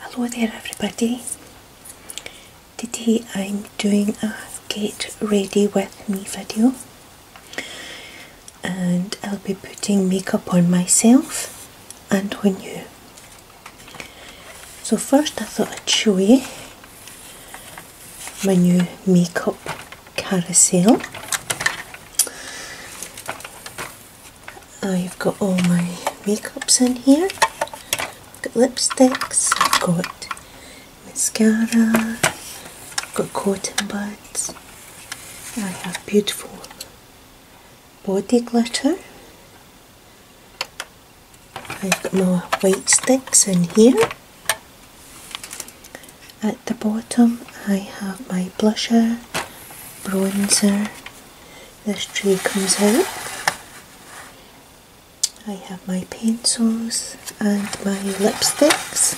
Hello there everybody. Today I'm doing a get ready with me video and I'll be putting makeup on myself and on you. So first I thought I'd show you my new makeup carousel. I've got all my makeups in here. got lipsticks, I've got mascara, I've got cotton buds, I have beautiful body glitter. I've got my white sticks in here. At the bottom I have my blusher, bronzer, this tray comes out. I have my pencils and my lipsticks.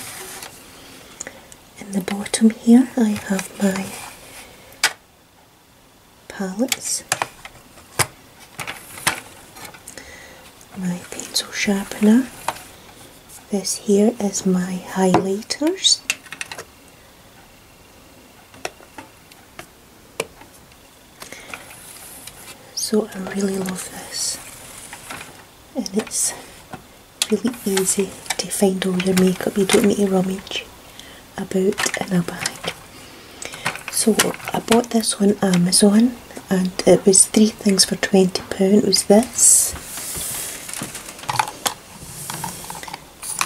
In the bottom here I have my palettes, my pencil sharpener this here is my highlighters so I really love this and it's really easy to find all your makeup you don't need to rummage about in a bag so I bought this one Amazon and uh, it was three things for £20 was this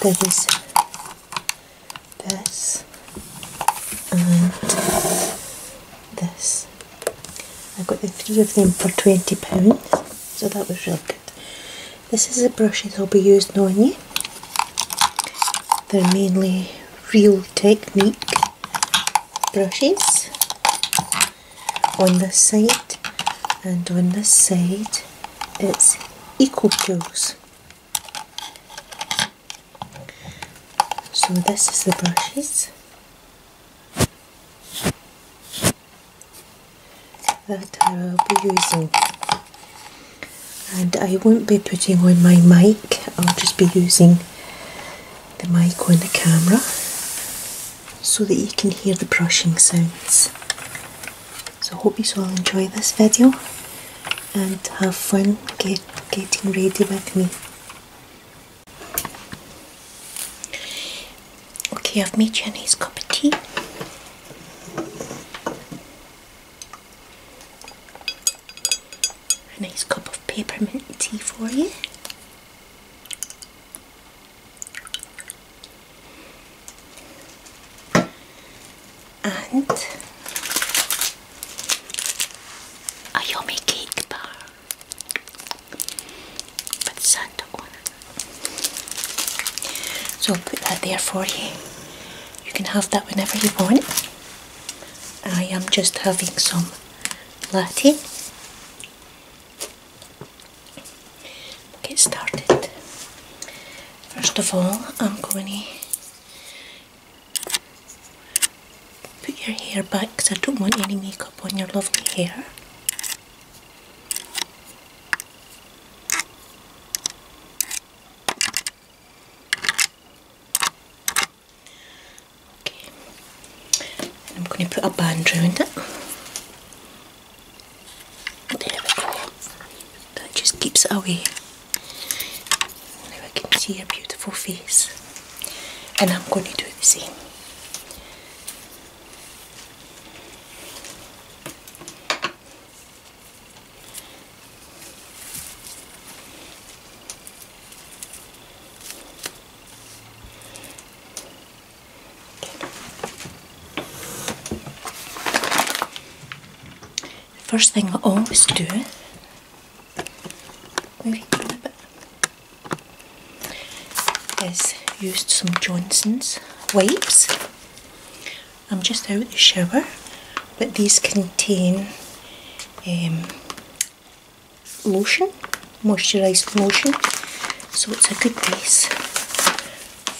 there was this and this I got the three of them for £20 so that was real good this is the brushes I'll be using on they're mainly real technique brushes on this side and on this side it's equal tools. So this is the brushes. that I will be using and I won't be putting on my mic I'll just be using the mic and the camera so that you can hear the brushing sounds. So hope you all enjoy this video and have fun getting ready with me. Okay, I've made you a nice cup of tea. A nice cup of peppermint tea for you and a yummy cake bar with Santa on it. So I'll put that there for you. You can have that whenever you want. I am just having some latte get started. First of all, I'm going to put your hair back because I don't want any makeup on your lovely hair. Okay, I'm going to put a band round it. That just keeps it away. Now I can see your beautiful face, and I'm going to do the same. First thing I always do, is use some Johnson's wipes. I'm just out of the shower, but these contain um, lotion, moisturised lotion. So it's a good base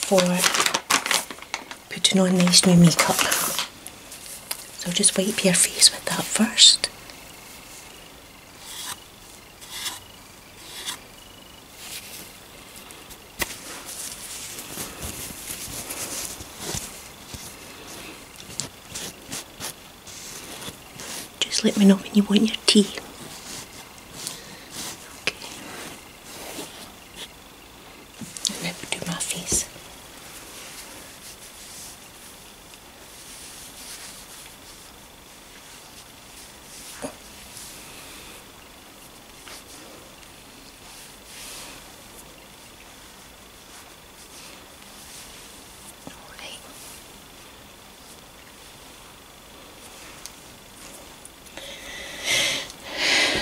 for putting on nice new makeup. So just wipe your face with that first. Just let me know when you want your tea. Okay. And then do my face. All right.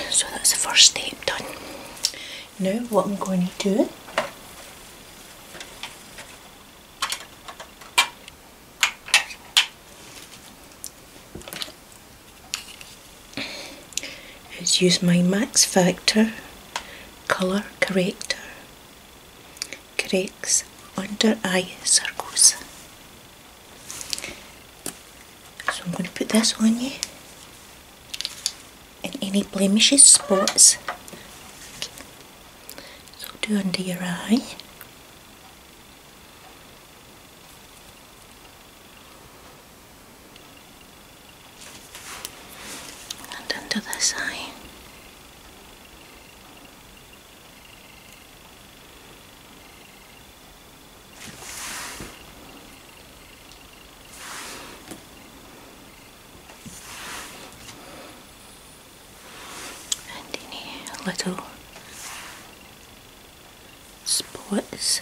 So that's the first step done. Now what I'm going to do is use my Max Factor colour corrector cracks under eye circles. So I'm going to put this on you and any blemishes, spots, so do under your eye. and under this eye. And any little spots.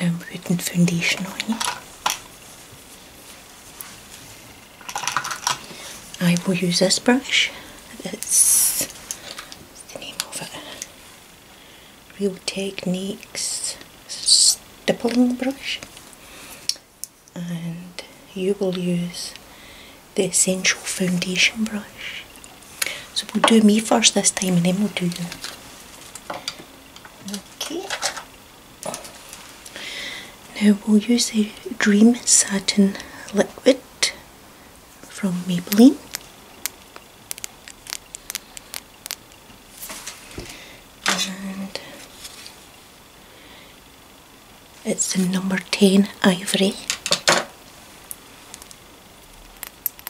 I'm putting foundation on I will use this brush. It's the name of it. Real Techniques stippling brush. And you will use the Essential Foundation brush so we'll do me first this time and then we'll do you. Okay. Now we'll use the Dream Satin Liquid from Maybelline. And it's the number 10 ivory.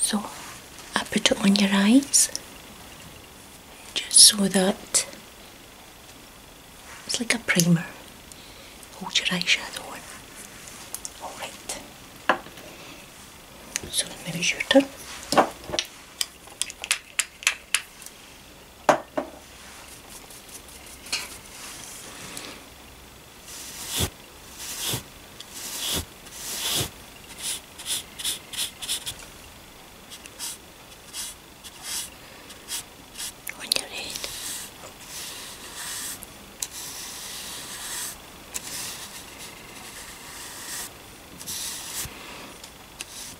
So I put it on your eyes just so that it's like a primer. Hold your eyeshadow on. Alright. So maybe it's your turn when you read.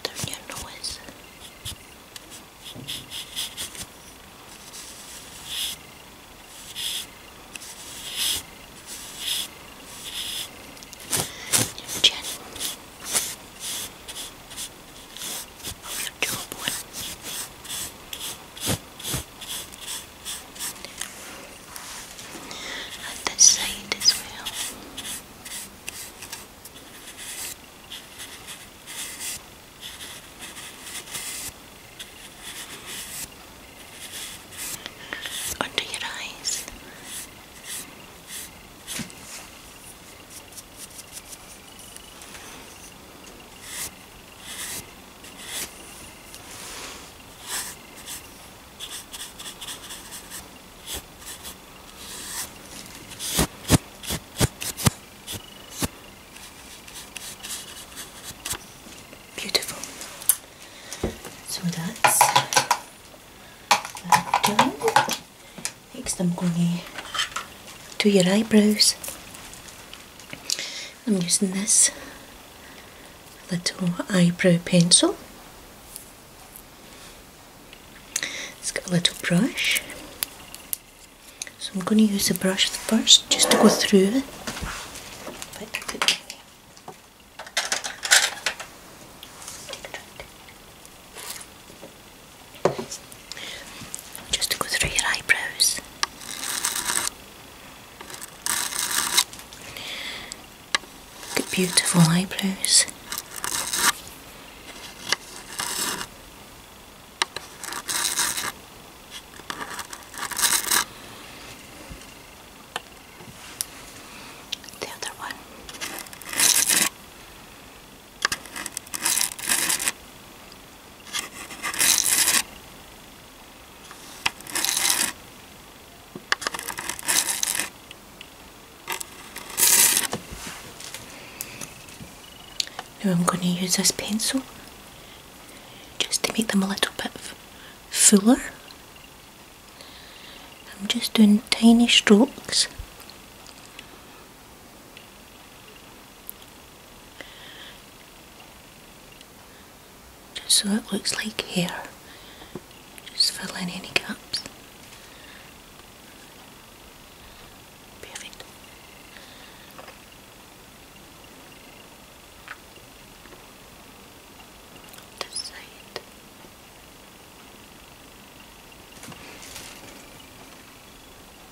Turn your noise. Your of your jawbone. At the side as well. Under your eyes. Beautiful. So that's done. Next, I'm going to do your eyebrows. I'm using this little eyebrow pencil. It's got a little brush. So I'm going to use the brush first just to go through it. Just to go through your eyebrows. Good, beautiful eyebrows. The other one. Now I'm going to use this pencil just to make them a little bit fuller. I'm just doing tiny strokes just so it looks like hair. Just fill in any gaps. Perfect. This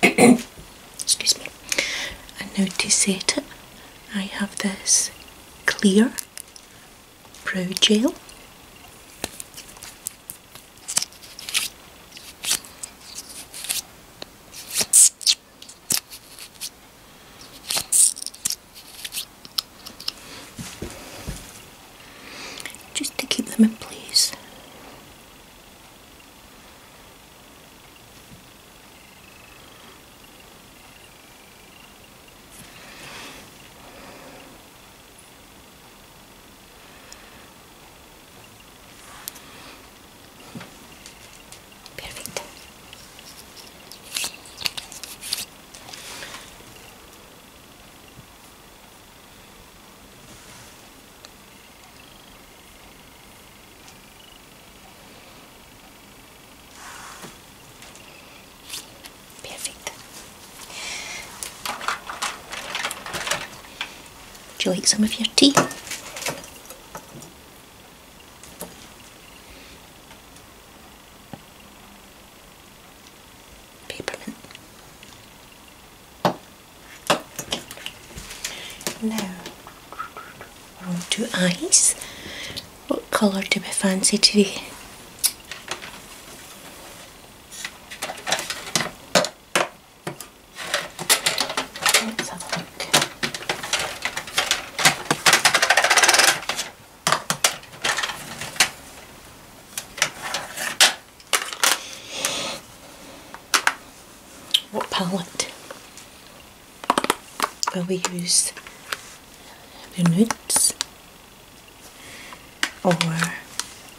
Excuse me. And now to I have this clear brow gel. Just to keep them in place. Perfect. Perfecto. Would you like some of your tea? Peppermint. Now we're on to eyes. What colour do we fancy today? let what palette will we use? The nudes or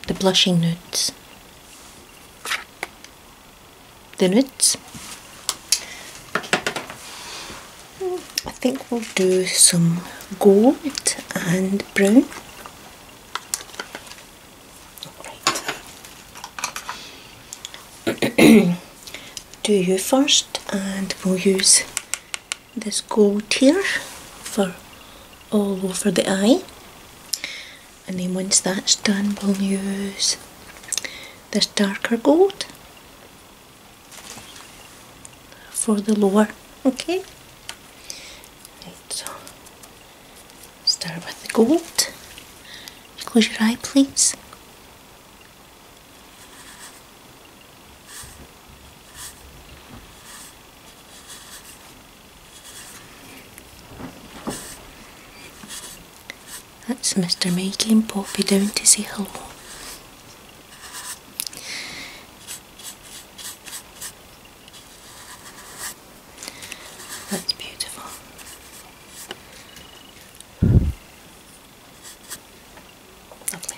the blushing nudes? The nudes. I think we'll do some gold and brown. do you first and we'll use this gold here for all over the eye and then once that's done we'll use this darker gold for the lower okay right start with the gold close your eye please that's Mr. Maggie and Poppy down to see him. That's beautiful. Lovely.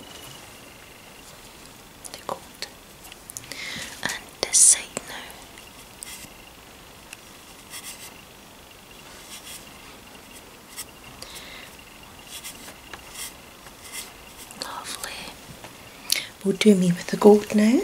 They're gold. And this side Lovely. We'll do me with the gold now.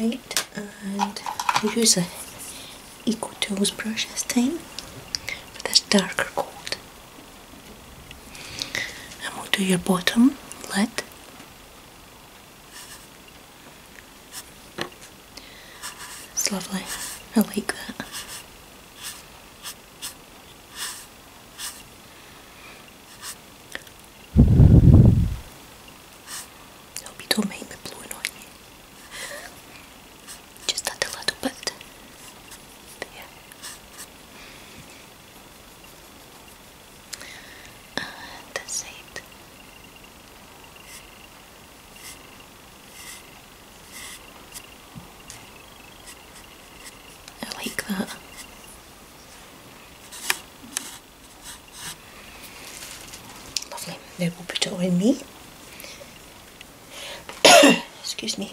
Right, and use a Eco Tools brush this time for this darker coat and we'll do your bottom lid it's lovely I like that Hope you don't mind me blowing on you. Just a little bit. There. And uh, that's I like that. Lovely. Now will put it on me. Excuse me.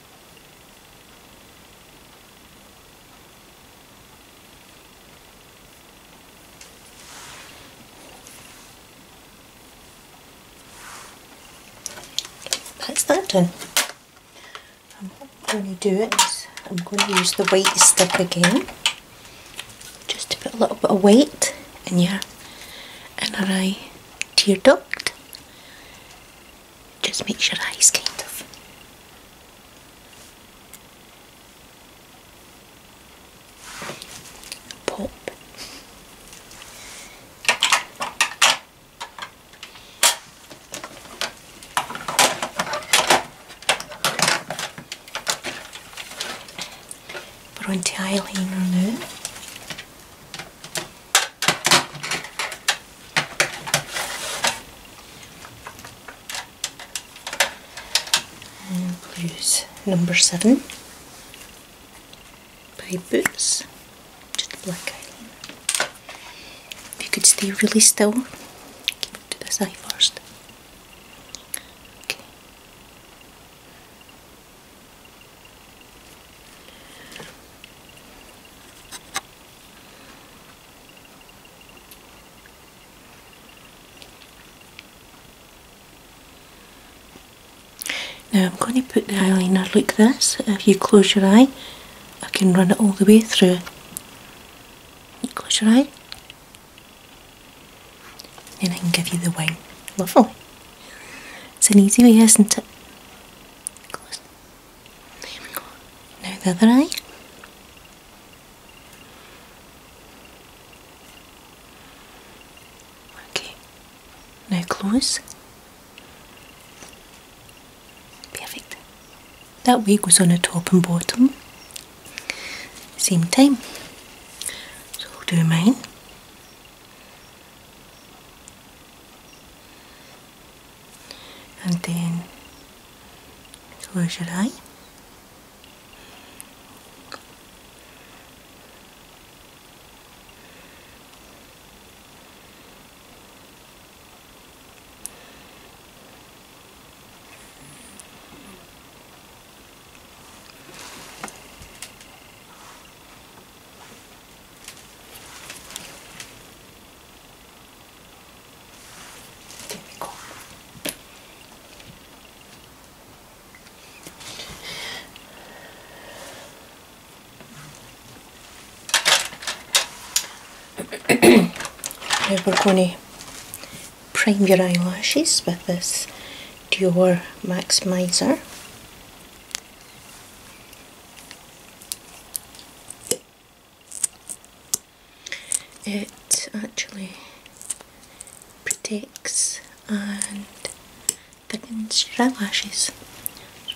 That's that done. And what I'm going to do it, I'm going to use the weight stick again just to put a little bit of weight in your inner eye tear duct just make sure eyes kind of pop. We're on to eyeliner now. And blues number seven by Boots just black eyeliner. If you could stay really still, keep it to the side first. Okay. Now I'm going to put the eyeliner like this. If you close your eye, I can run it all the way through. close your eye, and I can give you the wing. Lovely. It's an easy way, isn't it? Close. No, the other eye. Okay. Now close. Perfect. That way was on the top and bottom. Same time. So we'll do mine and then where should I? There we go. now we're going prime your eyelashes with this Dior Maximizer. It actually protects and thickens your eyelashes.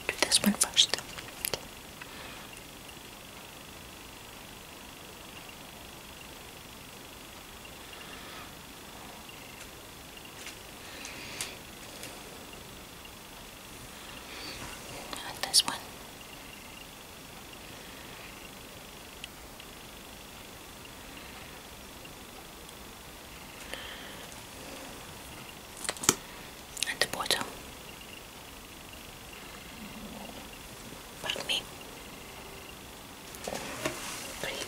do this one first. And this one. At the bottom, pardon me. Great.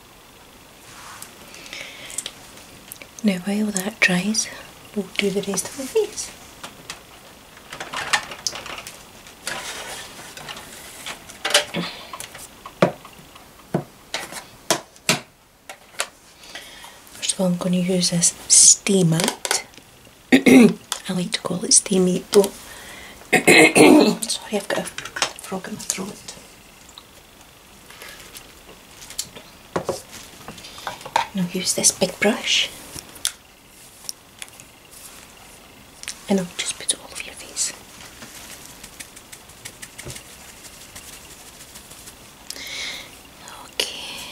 Now while that dries, we'll do the rest of the face. First of all, I'm going to use this steamer. I like to call it steam but sorry, I've got a frog in my throat. Now use this big brush and I'll just put all of your face. Okay.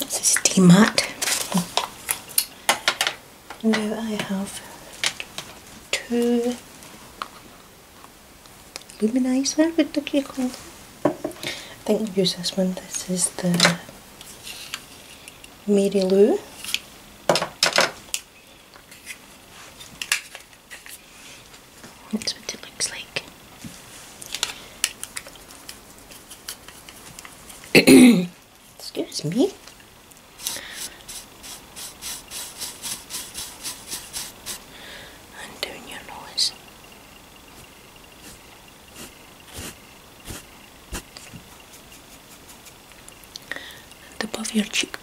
This is tea mat. Now I have two luminizer, what do you call them? I think i use this one. This is the Mary Lou that's what it looks like. Excuse me. And am your nose. And above your cheekbones.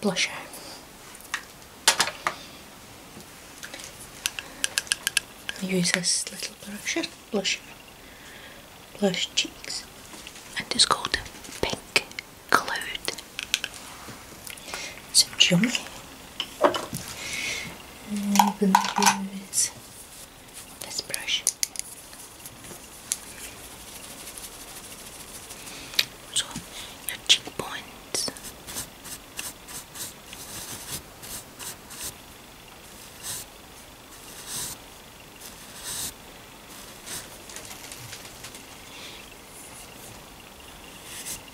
Blusher. use this little blusher, blusher, blush cheeks, and it's called Pink Cloud. It's a jummy. And I'm going to use this brush. So your cheekbones.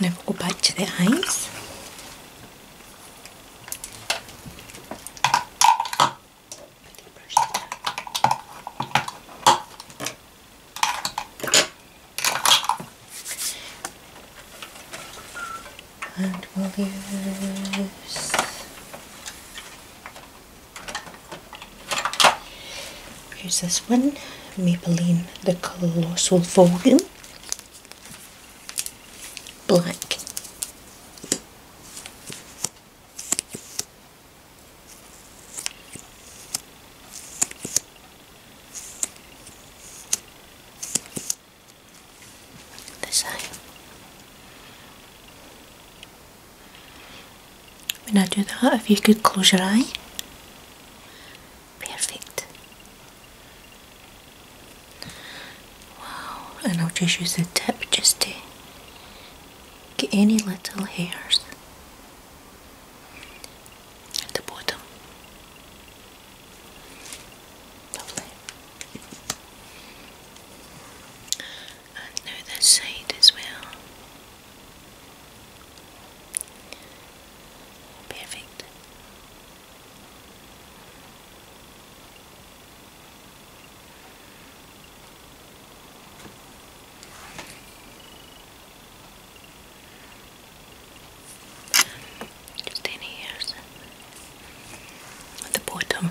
Now go back to the eyes. And we'll use Here's this one, Maybelline The Colossal Volume. Black. This eye. When I do that, if you could close your eye. Perfect. Wow, and I'll just use the tip just to get any little hairs at the bottom. Lovely. And now this side as well. Perfect. Just in here at the bottom.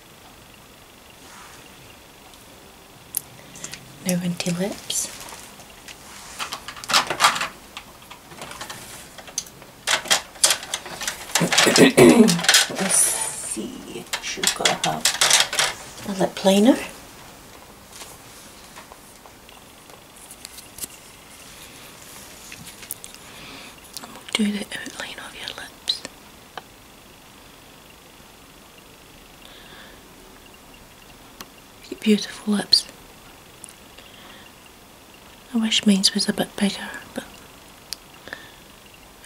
No empty lips. Let's see, she's got to have a lip liner. we'll do the outline of your lips. Your beautiful lips. I wish mine was a bit bigger, but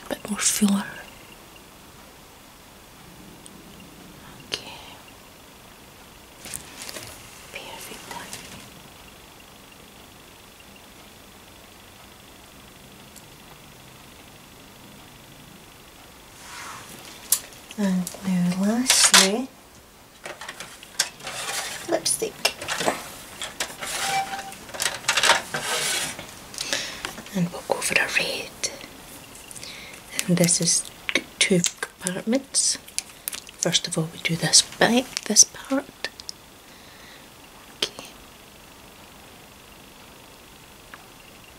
a bit more fuller. Okay. Perfect. And now lastly, lipstick. And we'll go for the red. And this is two compartments. First of all we do this back, this part. Okay.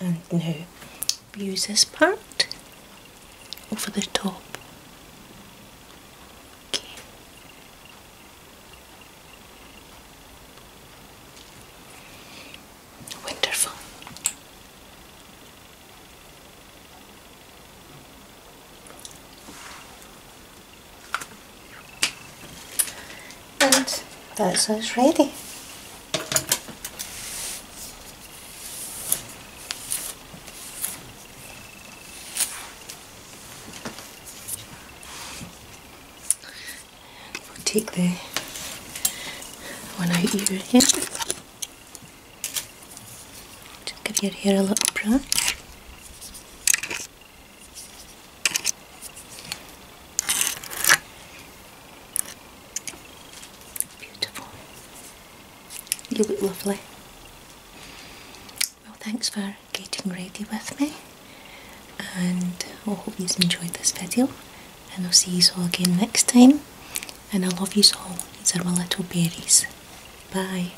and now use this part over the top wonderful and that's us ready. take the one out of your Just give your hair a little brush. Beautiful. You look lovely. Well, thanks for getting ready with me, and I hope you've enjoyed this video. And I'll see you all again next time. And I love you all. These are my little berries. Bye.